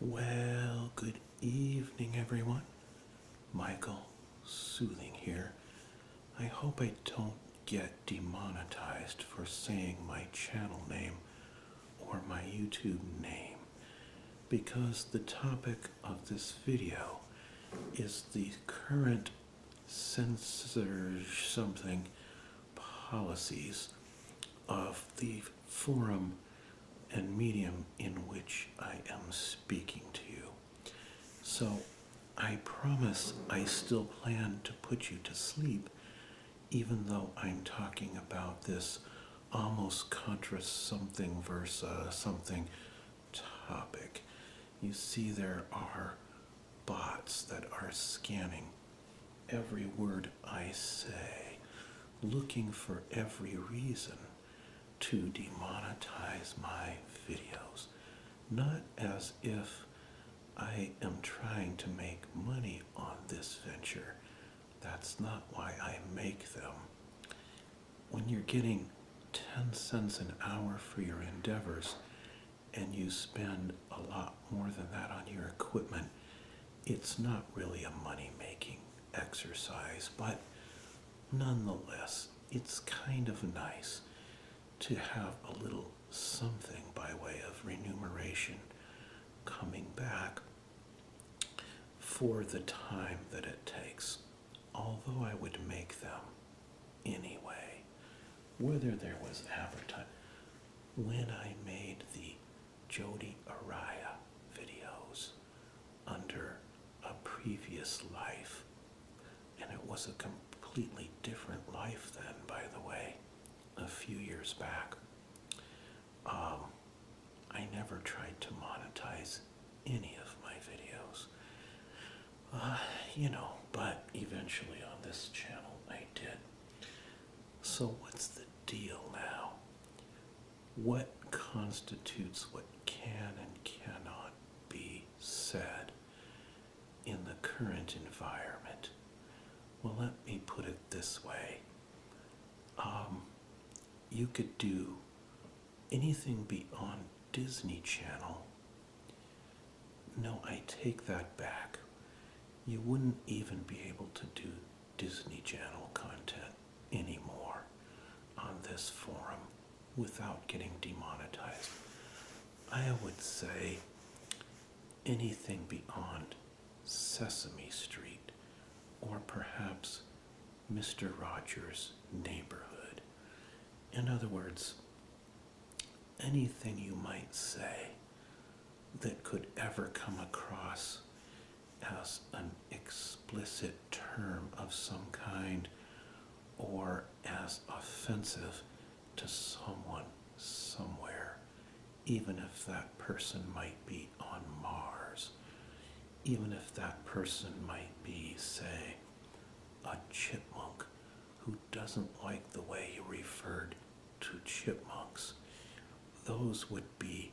Well, good evening, everyone. Michael Soothing here. I hope I don't get demonetized for saying my channel name or my YouTube name because the topic of this video is the current censor something policies of the forum and medium in which I am speaking to you. So I promise I still plan to put you to sleep, even though I'm talking about this almost contra something versus something topic. You see, there are bots that are scanning every word I say, looking for every reason to demonetize my videos, not as if I am trying to make money on this venture. That's not why I make them. When you're getting 10 cents an hour for your endeavors and you spend a lot more than that on your equipment, it's not really a money making exercise, but nonetheless, it's kind of nice to have a little something by way of remuneration coming back for the time that it takes. Although I would make them anyway, whether there was advertising. When I made the Jody Araya videos under a previous life. And it was a completely different life then, by the way, a few years back. Um, I never tried to monetize any of my videos. Uh, you know, but eventually on this channel I did. So what's the deal now? what constitutes what can and cannot be said in the current environment? Well, let me put it this way um, you could do anything beyond Disney Channel. No, I take that back. You wouldn't even be able to do Disney Channel content anymore on this forum without getting demonetized. I would say anything beyond Sesame Street or perhaps Mr. Rogers' Neighborhood. In other words, anything you might say that could ever come across as an explicit term of some kind or as offensive to someone somewhere, even if that person might be on Mars, even if that person might be, say, a chipmunk who doesn't like the way you referred to chipmunks, those would be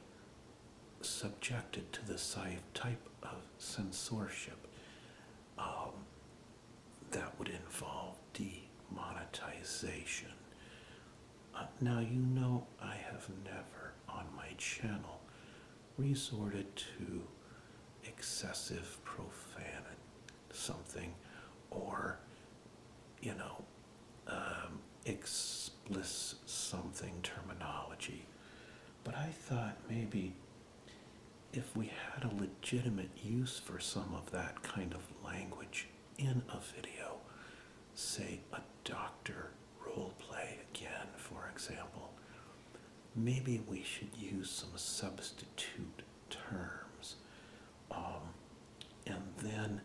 subjected to this type of censorship um, that would involve demonetization. Uh, now, you know, I have never on my channel resorted to excessive profanity, something, or you know, um, explicit something terminology. But I thought maybe if we had a legitimate use for some of that kind of language in a video, say a doctor role play again, for example, maybe we should use some substitute terms um, and then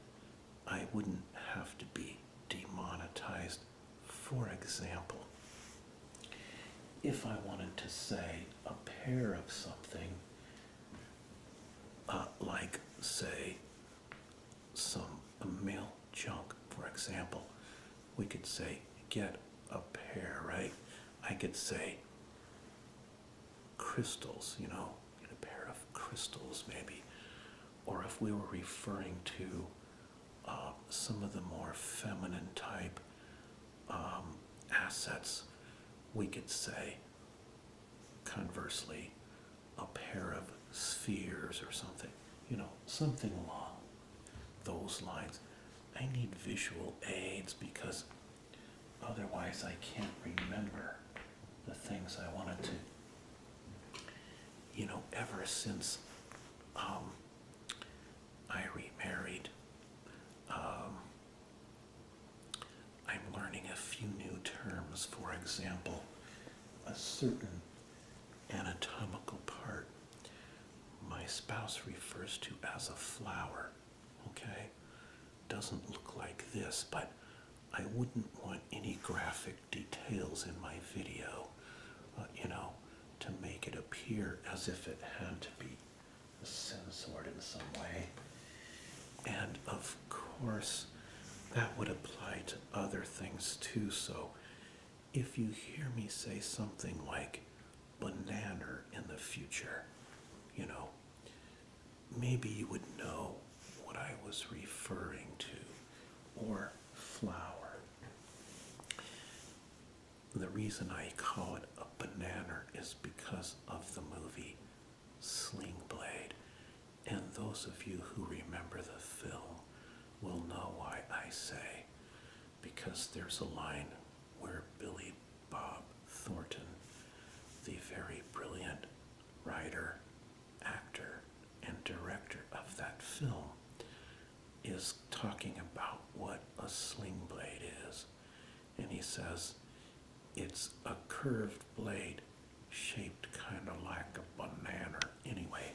I wouldn't have to be demonetized. For example, if I wanted to say a pair of something, uh, like, say, some a male junk, for example, we could say, get a pair, right? I could say, crystals, you know, a pair of crystals maybe, or if we were referring to uh, some of the more feminine type um, assets, we could say conversely a pair of spheres or something, you know, something along those lines. I need visual aids because otherwise I can't remember the things I wanted to, you know, ever since um, I remarried, um, I'm learning a few new terms. For example, a certain anatomical part my spouse refers to as a flower, okay? doesn't look like this, but I wouldn't want any graphic details in my video, uh, you know, to make it appear as if it had to be censored in some way. And of course, that would apply to other things too. So if you hear me say something like banana in the future, you know, maybe you would know what I was referring to, or flower. The reason I call it a banana is because of the movie Sling Blade. And those of you who remember the film will know why I say, because there's a line where Billy Bob Thornton, the very brilliant writer, actor, and director of that film is talking about what a sling blade is. And he says it's a curved blade shaped kind of like a banana. Anyway,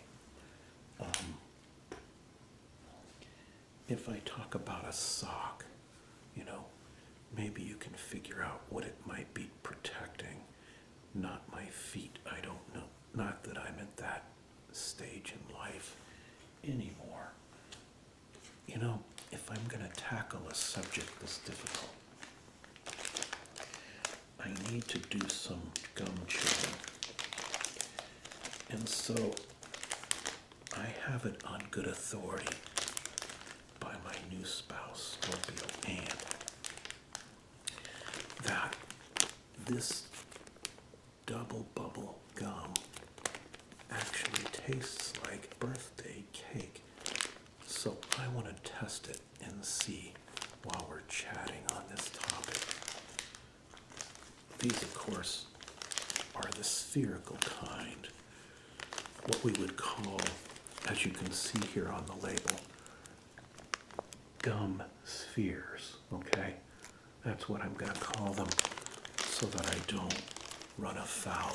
um, if I talk about a sock, you know, maybe you can figure out what it might be protecting. Not my feet, I don't know. Not that I'm at that stage in life anymore. You know, if I'm going to tackle a subject this difficult, I need to do some gum chewing. And so I have it on good authority by my new spouse, Scorpio and that this double bubble gum actually tastes like birthday cake. So I want to test it and see while we're chatting on this topic. These, of course, are the spherical kind what we would call, as you can see here on the label, gum spheres. Okay, that's what I'm going to call them so that I don't run afoul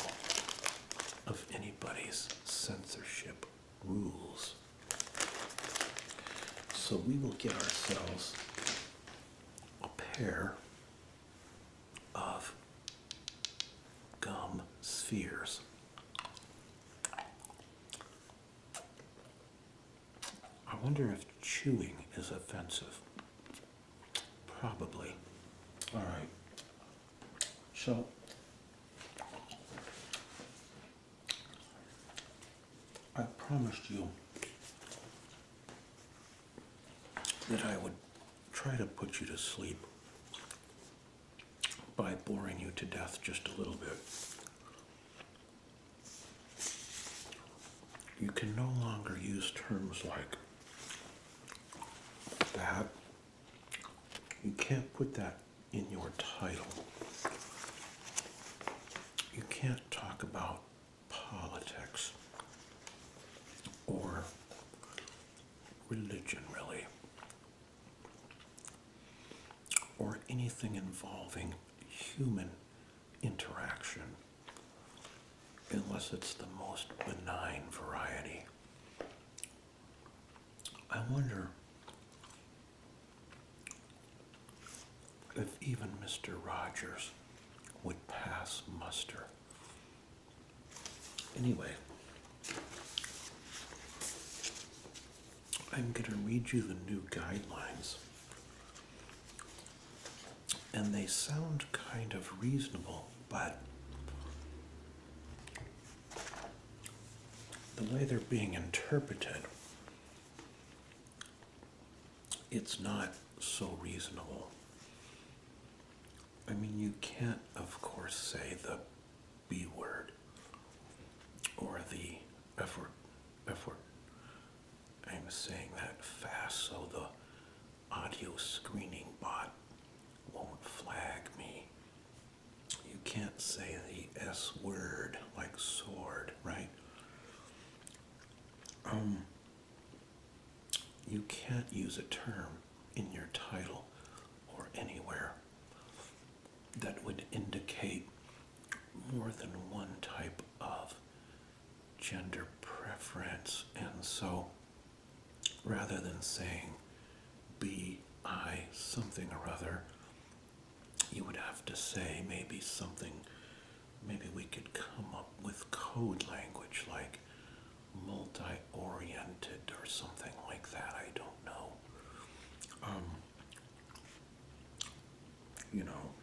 of anybody's censorship rules. So we will get ourselves a pair of gum spheres. I wonder if chewing is offensive. Probably. All right. So I promised you that I would try to put you to sleep by boring you to death just a little bit. You can no longer use terms like that. You can't put that in your title. You can't talk about politics or religion, really, or anything involving human interaction, unless it's the most benign variety. I wonder if even Mr. Rogers would pass muster Anyway, I'm going to read you the new guidelines. And they sound kind of reasonable, but the way they're being interpreted, it's not so reasonable. I mean, you can't, of course, say the B word or the F word. F word. I'm saying that fast so the audio screening bot won't flag me. You can't say the S word like sword, right? Um, you can't use a term in your title or anywhere that would indicate more than one type of gender preference. And so rather than saying BI something or other, you would have to say maybe something, maybe we could come up with code language like multi-oriented or something like that. I don't know. Um, you know,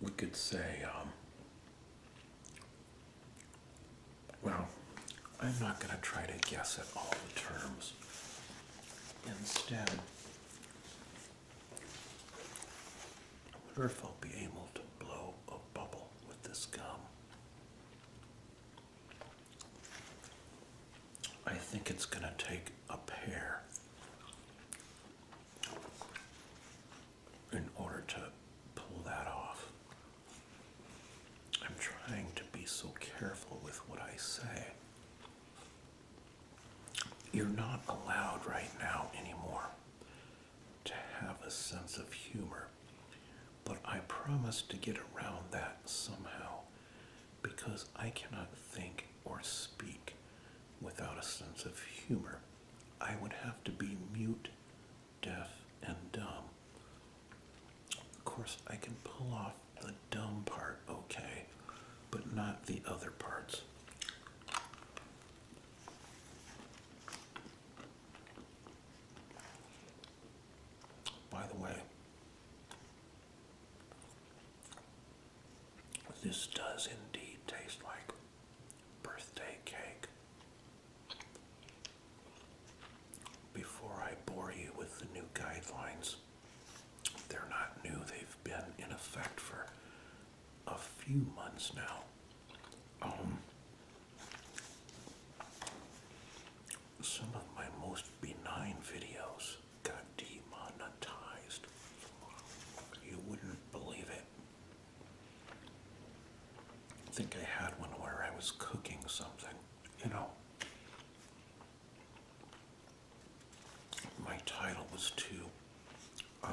we could say, um, well, I'm not going to try to guess at all the terms. Instead, I wonder if I'll be able to blow a bubble with this gum. I think it's going to take a pair in order to pull that off. I'm trying to be so careful with what I say. You're not allowed right now anymore to have a sense of humor. But I promise to get around that somehow because I cannot think or speak without a sense of humor. I would have to be mute, deaf, and dumb. Of course, I can pull off the dumb part okay, but not the other parts. By the way, this does indeed taste like birthday cake. Before I bore you with the new guidelines, they're not new, they've been in effect for a few months now. Um, some of my most benign videos got demonetized. You wouldn't believe it. I think I had one where I was cooking something, you know. My title was to um,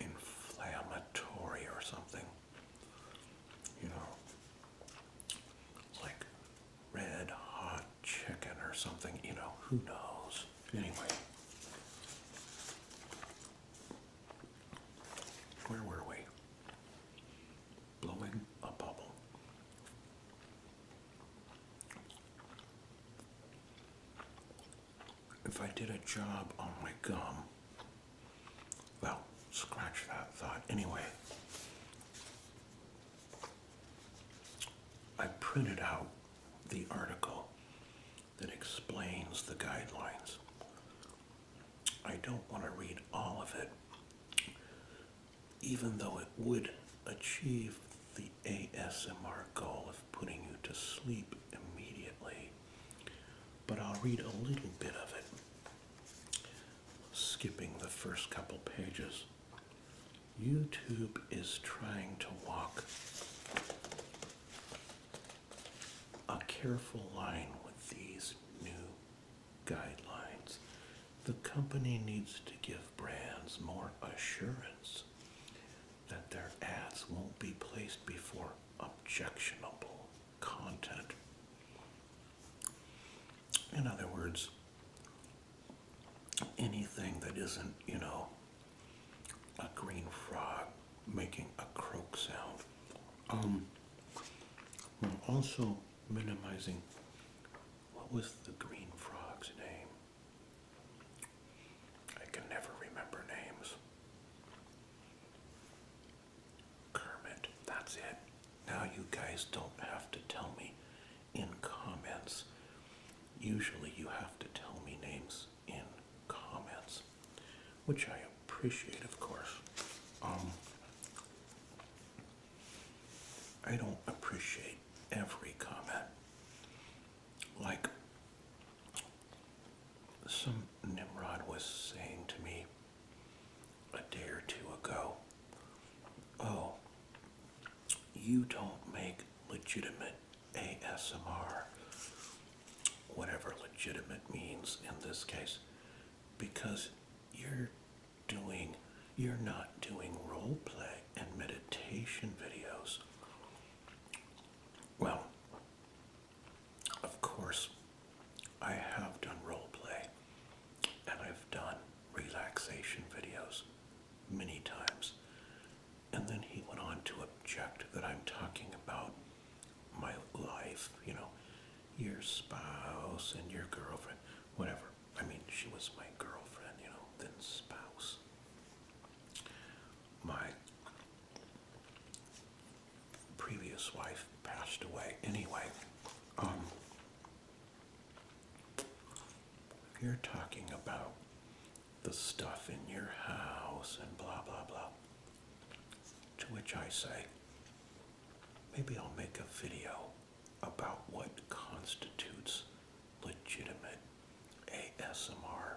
inflammatory or something. You know, like red hot chicken or something, you know, who knows? Anyway, where were we? Blowing a bubble if I did a job on oh my gum, well, scratch that thought. Anyway, I printed out the article that explains the guidelines. I don't want to read all of it, even though it would achieve the ASMR goal putting you to sleep immediately, but I'll read a little bit of it, skipping the first couple pages. YouTube is trying to walk a careful line with these new guidelines. The company needs to give brands more assurance that their ads won't be placed before objectionable content. In other words, anything that isn't, you know, a green frog making a croak sound. Um, while also minimizing what was the green frog's name? I can never remember names. Kermit, that's it. Now you guys don't have to tell me in comments. Usually you have to tell me names in comments, which I appreciate, of course. Um, I don't appreciate every comment. Like, some Nimrod was saying to me a day or two ago, Oh, you don't make legitimate ASMR, whatever legitimate means in this case, because you're doing, you're not doing role play and meditation videos. Well, of course, I have done role play and I've done relaxation videos many times. And then he went on to object that I'm talking about my life, you know, your spouse and your girlfriend, whatever. I mean, she was my girlfriend, you know, then spouse my previous wife passed away. Anyway, um, you're talking about the stuff in your house and blah, blah, blah. To which I say, maybe I'll make a video about what constitutes legitimate ASMR.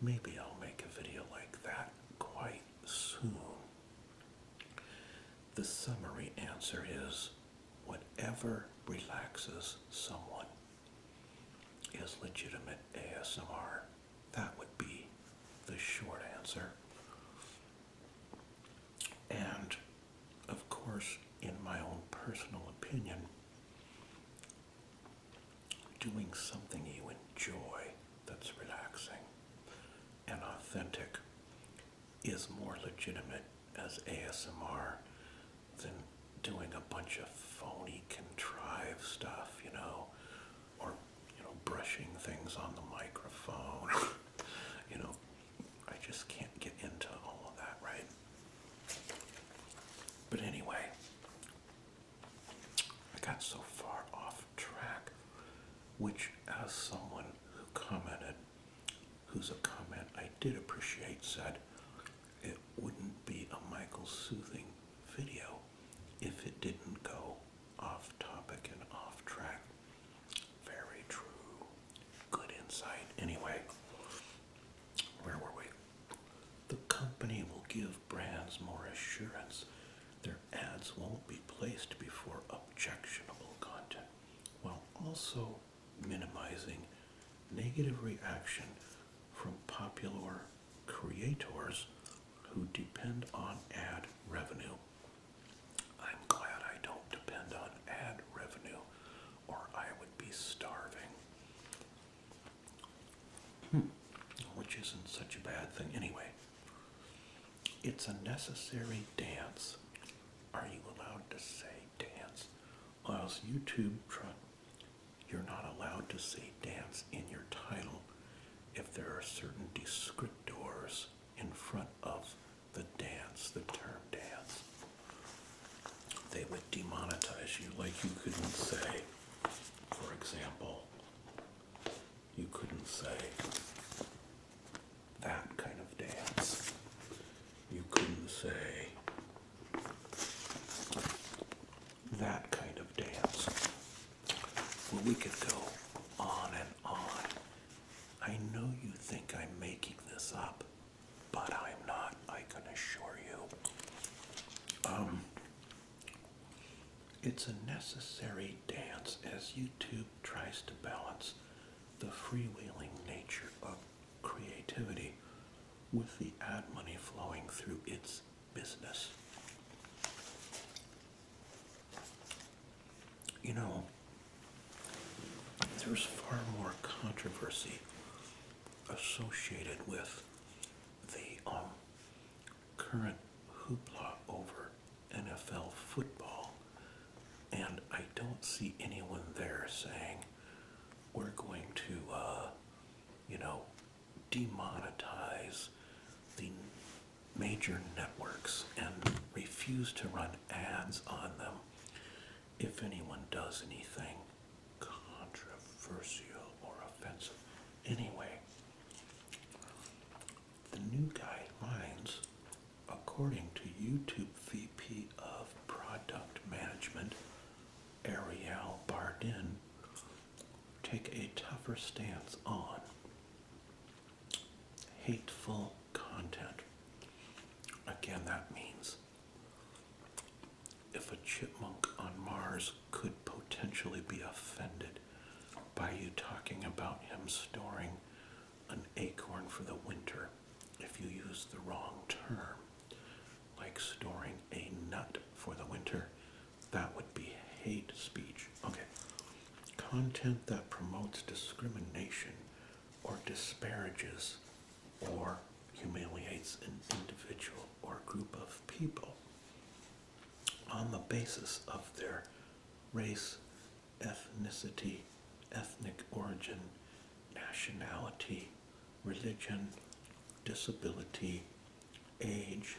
Maybe I'll make a video like that quite soon. The summary answer is whatever relaxes someone is legitimate ASMR. That would be the short answer. And of course, in my own personal opinion, doing something you enjoy that's relaxing and authentic is more legitimate as ASMR than doing a bunch of phony contrived stuff, you know, or you know, brushing things on the microphone. you know, I just can't get into all of that, right? But anyway, I got so far off track, which, as someone who commented, whose a comment I did appreciate, said, it wouldn't be a Michael Soothing video if it didn't go off topic and off track. Very true. Good insight. Anyway, where were we? The company will give brands more assurance. Their ads won't be placed before objectionable content while also minimizing negative reaction from popular creators who depend on ad revenue. I'm glad I don't depend on ad revenue or I would be starving. Hmm. Which isn't such a bad thing anyway. It's a necessary dance. Are you allowed to say dance? Or else YouTube, you're not allowed to say dance in your title if there are certain descriptors in front of the dance, the term dance they would demonetize you. Like you couldn't say, for example, you couldn't say that kind of dance. You couldn't say that kind of dance. Well, we could go on and on. I know you think I'm making this up but I'm not, I can assure you. Um, it's a necessary dance as YouTube tries to balance the freewheeling nature of creativity with the ad money flowing through its business. You know, there's far more controversy associated with the um, current hoopla over NFL football, and I don't see anyone there saying we're going to, uh, you know, demonetize the major networks and refuse to run ads on them if anyone does anything controversial or offensive. Anyway, the new guidelines, according to YouTube VP of Product Management, Ariel Bardin, take a tougher stance on hateful content. Again, that means if a chipmunk on Mars could potentially be offended by you talking about him storing an acorn for the winter if you use the wrong term, like storing a nut for the winter, that would be hate speech. Okay. Content that promotes discrimination or disparages or humiliates an individual or group of people on the basis of their race, ethnicity, ethnic origin, nationality, religion, disability, age,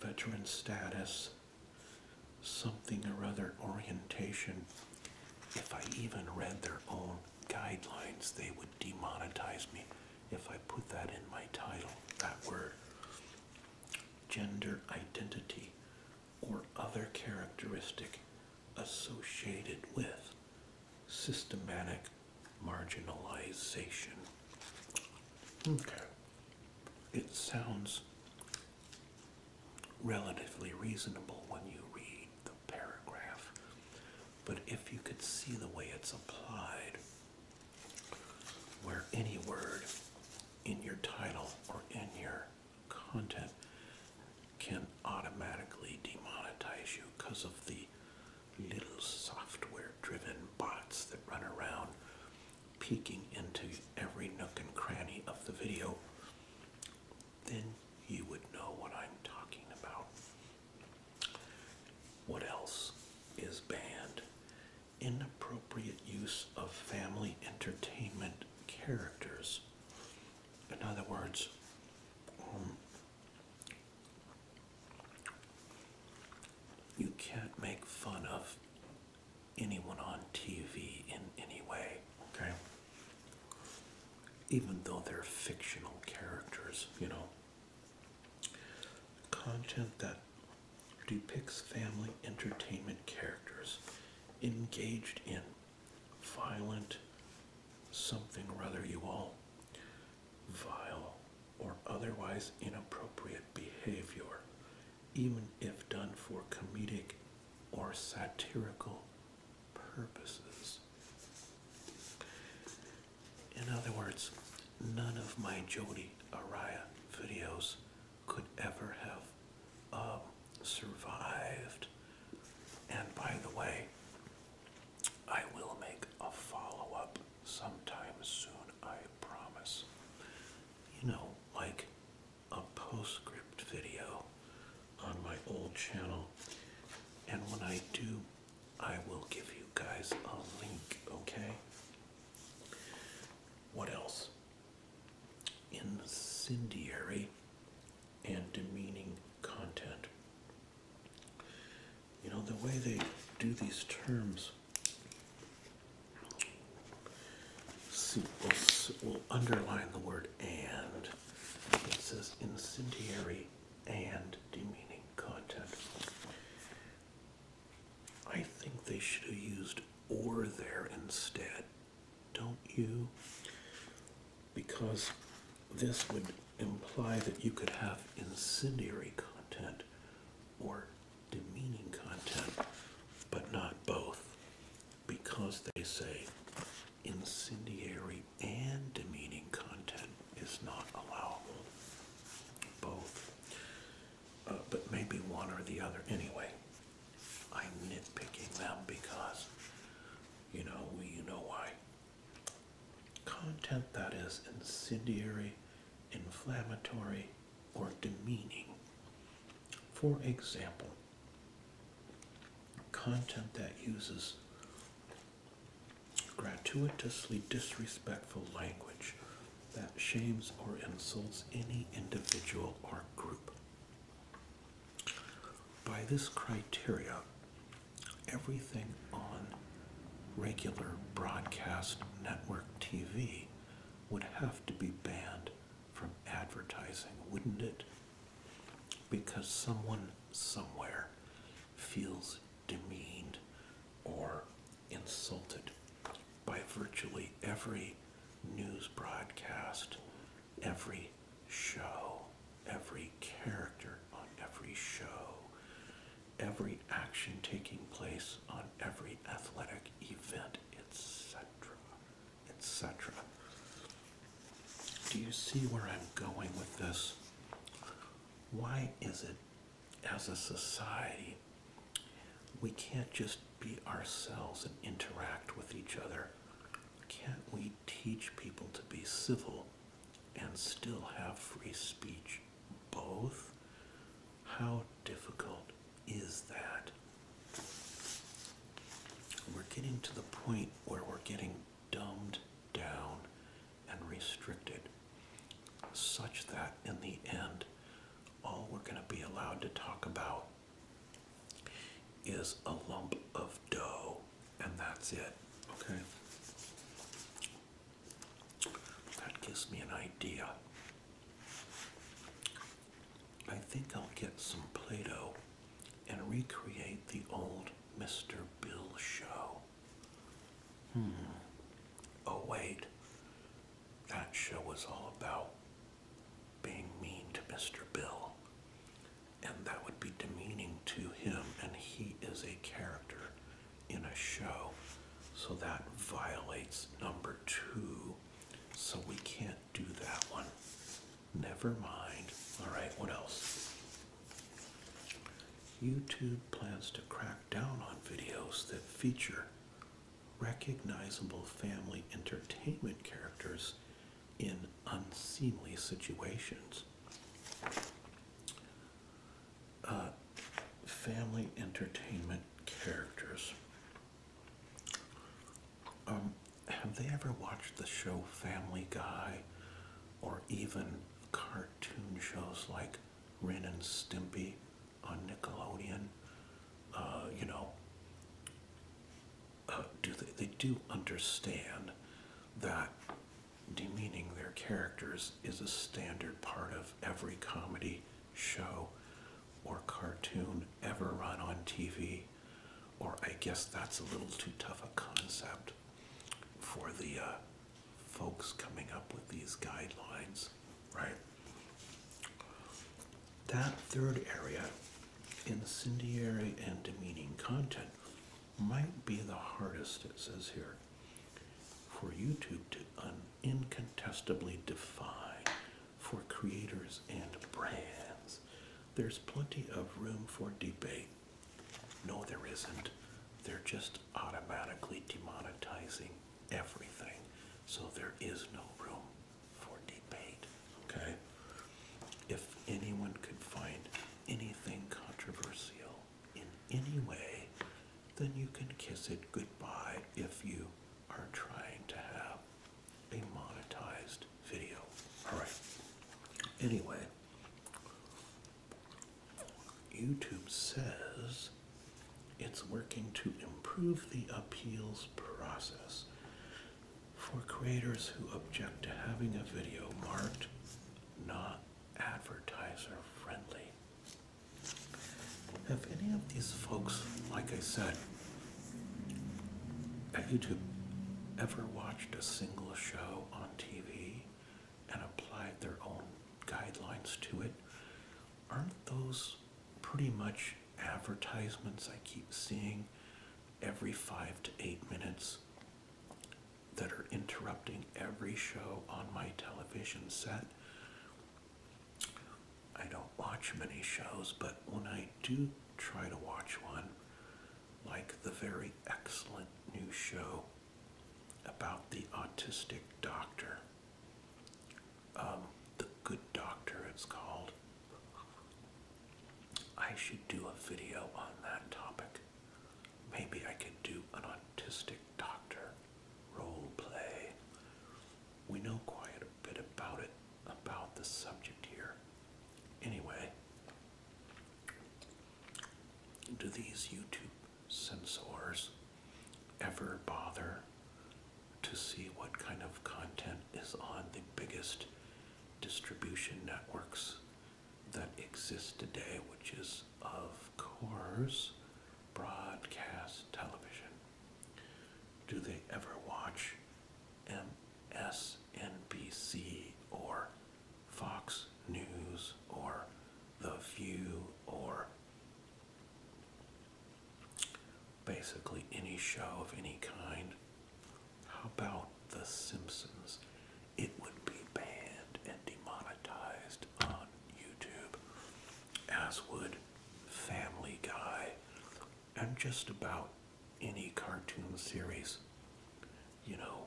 veteran status, something or other orientation, if I even read their own guidelines, they would demonetize me if I put that in my title, that word. Gender identity or other characteristic associated with systematic marginalization. Okay. It sounds relatively reasonable when you read the paragraph. But if you could see the way it's applied, where any word in your title or in your content can automatically demonetize you because of the little software driven bots that run around peeking into every nook and cranny of the video then you would know what I'm talking about. What else is banned? Inappropriate use of family entertainment characters. In other words, um, you can't make fun of anyone on TV in any way, okay? even though they're fictional characters, you know. Content that depicts family entertainment characters engaged in violent something, rather you all, vile or otherwise inappropriate behavior, even if done for comedic or satirical purposes. In other words, none of my Jodi Araya videos could ever have um, survived. And by the way, I will make a follow up sometime soon, I promise. You know, like a postscript video on my old channel. And when I do, I will give you guys a link, okay? What else? Incendiary and demeaning content. You know, the way they do these terms see, we'll, will underline the word and it says incendiary and demeaning content. I think they should have used or there instead, don't you? Because this would imply that you could have incendiary content or demeaning content, but not both, because they say incendiary and demeaning content is not allowable. Both. Uh, but maybe one or the other. Anyway, I'm nitpicking them because, you know, you know why. Content that is incendiary, inflammatory, or demeaning. For example, content that uses gratuitously disrespectful language that shames or insults any individual or group. By this criteria, everything on regular broadcast network TV would have to be banned from advertising, wouldn't it? because someone somewhere feels demeaned or insulted by virtually every news broadcast, every show, every character on every show, every action taking place on every athletic event, etc etc. Do you see where I'm going with this? Why is it, as a society, we can't just be ourselves and interact with each other? Can't we teach people to be civil and still have free speech? Both? How difficult is that? we're getting to the point where we're getting dumbed down and restricted, such that in the end, all we're going to be allowed to talk about is a lump of dough, and that's it. Okay? That gives me an idea. I think I'll get some Play Doh and recreate the old Mr. Bill show. Hmm. Oh, wait. That show was all about being mean to Mr. Bill. And that would be demeaning to him, and he is a character in a show. So that violates number two. So we can't do that one. Never mind. All right, what else? YouTube plans to crack down on videos that feature recognizable family entertainment characters in unseemly situations. Uh, family entertainment characters. Um, have they ever watched the show Family Guy or even cartoon shows like Ren and Stimpy on Nickelodeon? Uh, you know, uh, do they, they do understand that demeaning their characters is a standard part of every comedy show or cartoon ever run on TV, or I guess that's a little too tough a concept for the uh, folks coming up with these guidelines, right? That third area, incendiary and demeaning content, might be the hardest, it says here, for YouTube to incontestably define for creators and brands there's plenty of room for debate. No, there isn't. They're just automatically demonetizing everything. So there is no room for debate. Okay? If anyone could find anything controversial in any way, then you can kiss it goodbye if you are trying to have a monetized video. Alright. Anyway, YouTube says it's working to improve the appeals process for creators who object to having a video marked not advertiser friendly. Have any of these folks, like I said, have you ever watched a single show on TV and applied their own guidelines to it? Aren't those pretty much advertisements I keep seeing every five to eight minutes that are interrupting every show on my television set? I don't watch many shows, but when I do try to watch one like the very excellent new show about the autistic doctor. Um, the Good Doctor, it's called. I should do a video on that topic. Maybe I could do an autistic doctor role play. We know quite a bit about it about the subject here. Anyway, do these YouTube censors ever bother to see what kind of content is on the biggest distribution networks that exist today, which is, of course, broadcast television? Do they ever watch MS? NBC or Fox News or The View or basically any show of any kind. How about The Simpsons? It would be banned and demonetized on YouTube, as would Family Guy and just about any cartoon series. You know,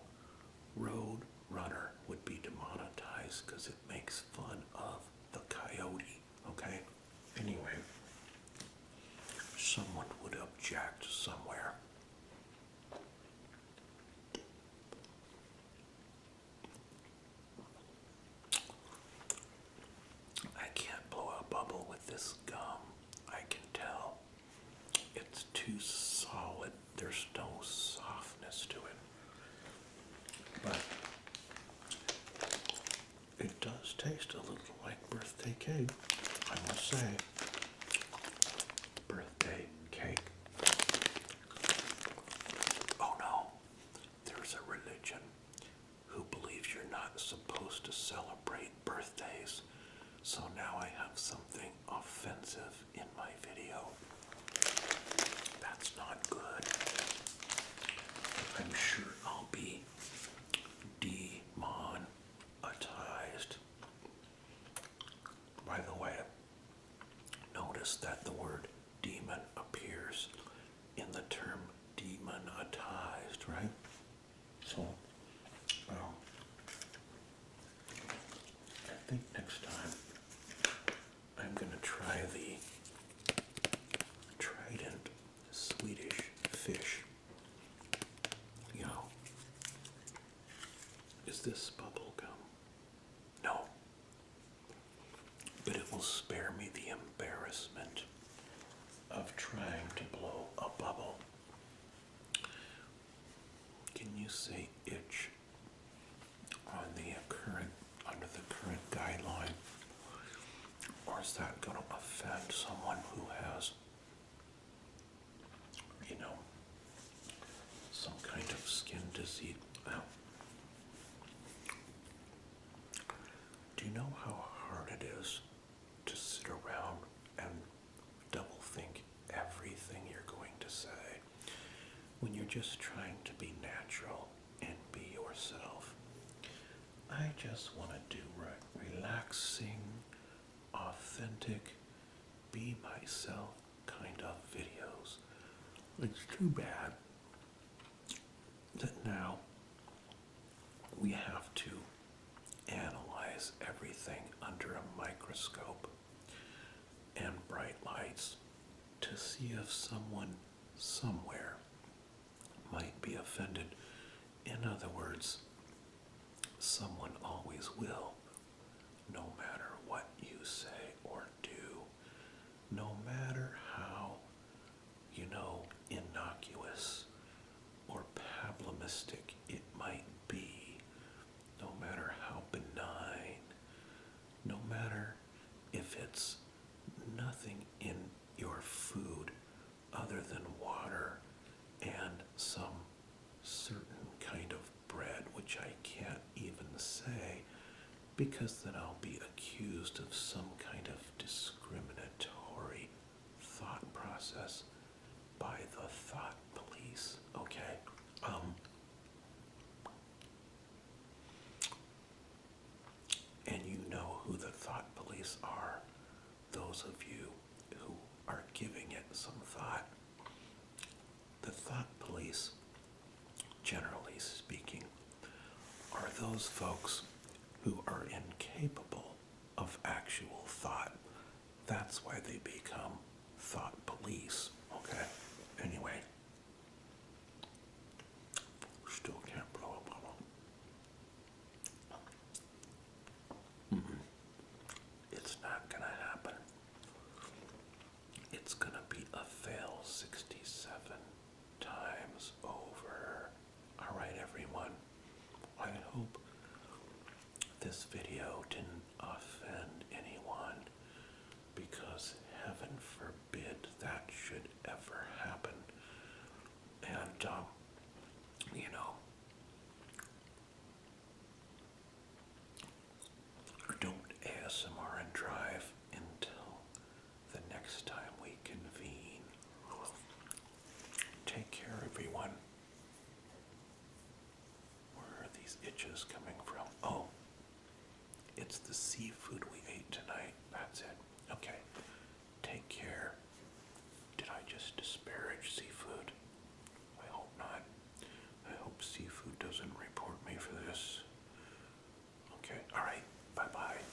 Road Runner would be demonetized because it makes fun of the coyote, okay? Anyway, someone would object somewhere. I can't blow a bubble with this gum. I can tell it's too solid. There's no softness to it. But it does taste a little like birthday cake, I must say. Birthday cake. Oh no, there's a religion who believes you're not supposed to celebrate birthdays. So now I have something offensive in my video. That's not good. I'm sure I'll be demonetized. By the way, notice that the word demon appears in the term demonetized, right? So, well, I think next time I'm going to try the Trident Swedish fish. You is this bubble gum? No. But it will spare me the embarrassment of trying to blow a bubble. Can you say itch on the current under the current guideline? Or is that going to offend someone who has, you know, some kind of skin disease? Now, do you know how hard it is to sit around and double think everything you're going to say when you're just trying to be natural and be yourself. I just want to do right, relaxing, authentic, be myself kind of videos. It's too bad that now we have to analyze everything under a microscope and bright lights to see if someone somewhere might be offended. In other words, someone always will, no matter what you say or do, no matter how you know, innocuous or pablamistic it might be, no matter how benign, no matter if it's nothing in your food other than water and some certain kind of bread, which I can't even say because then I'll be accused of some kind of discriminatory thought process by the thought police. Okay. Um, and you know who the thought police are, those of you who are giving it some thought. The thought police, generally speaking, are those folks who are incapable of actual thought. That's why they become thought police. Okay? Anyway. Still can't blow a bubble. Mm-hmm. It's not gonna happen. It's gonna be a fail 67 times over. All right, everyone. I hope this video didn't offend anyone because heaven forbid that should ever happen. And, um, you know, don't ASMR and drive until the next time we convene. Take care, everyone. Where are these itches coming from? Oh, it's the seafood we ate tonight. That's it. Okay. Take care. Did I just disparage seafood? I hope not. I hope seafood doesn't report me for this. Okay, alright. Bye bye.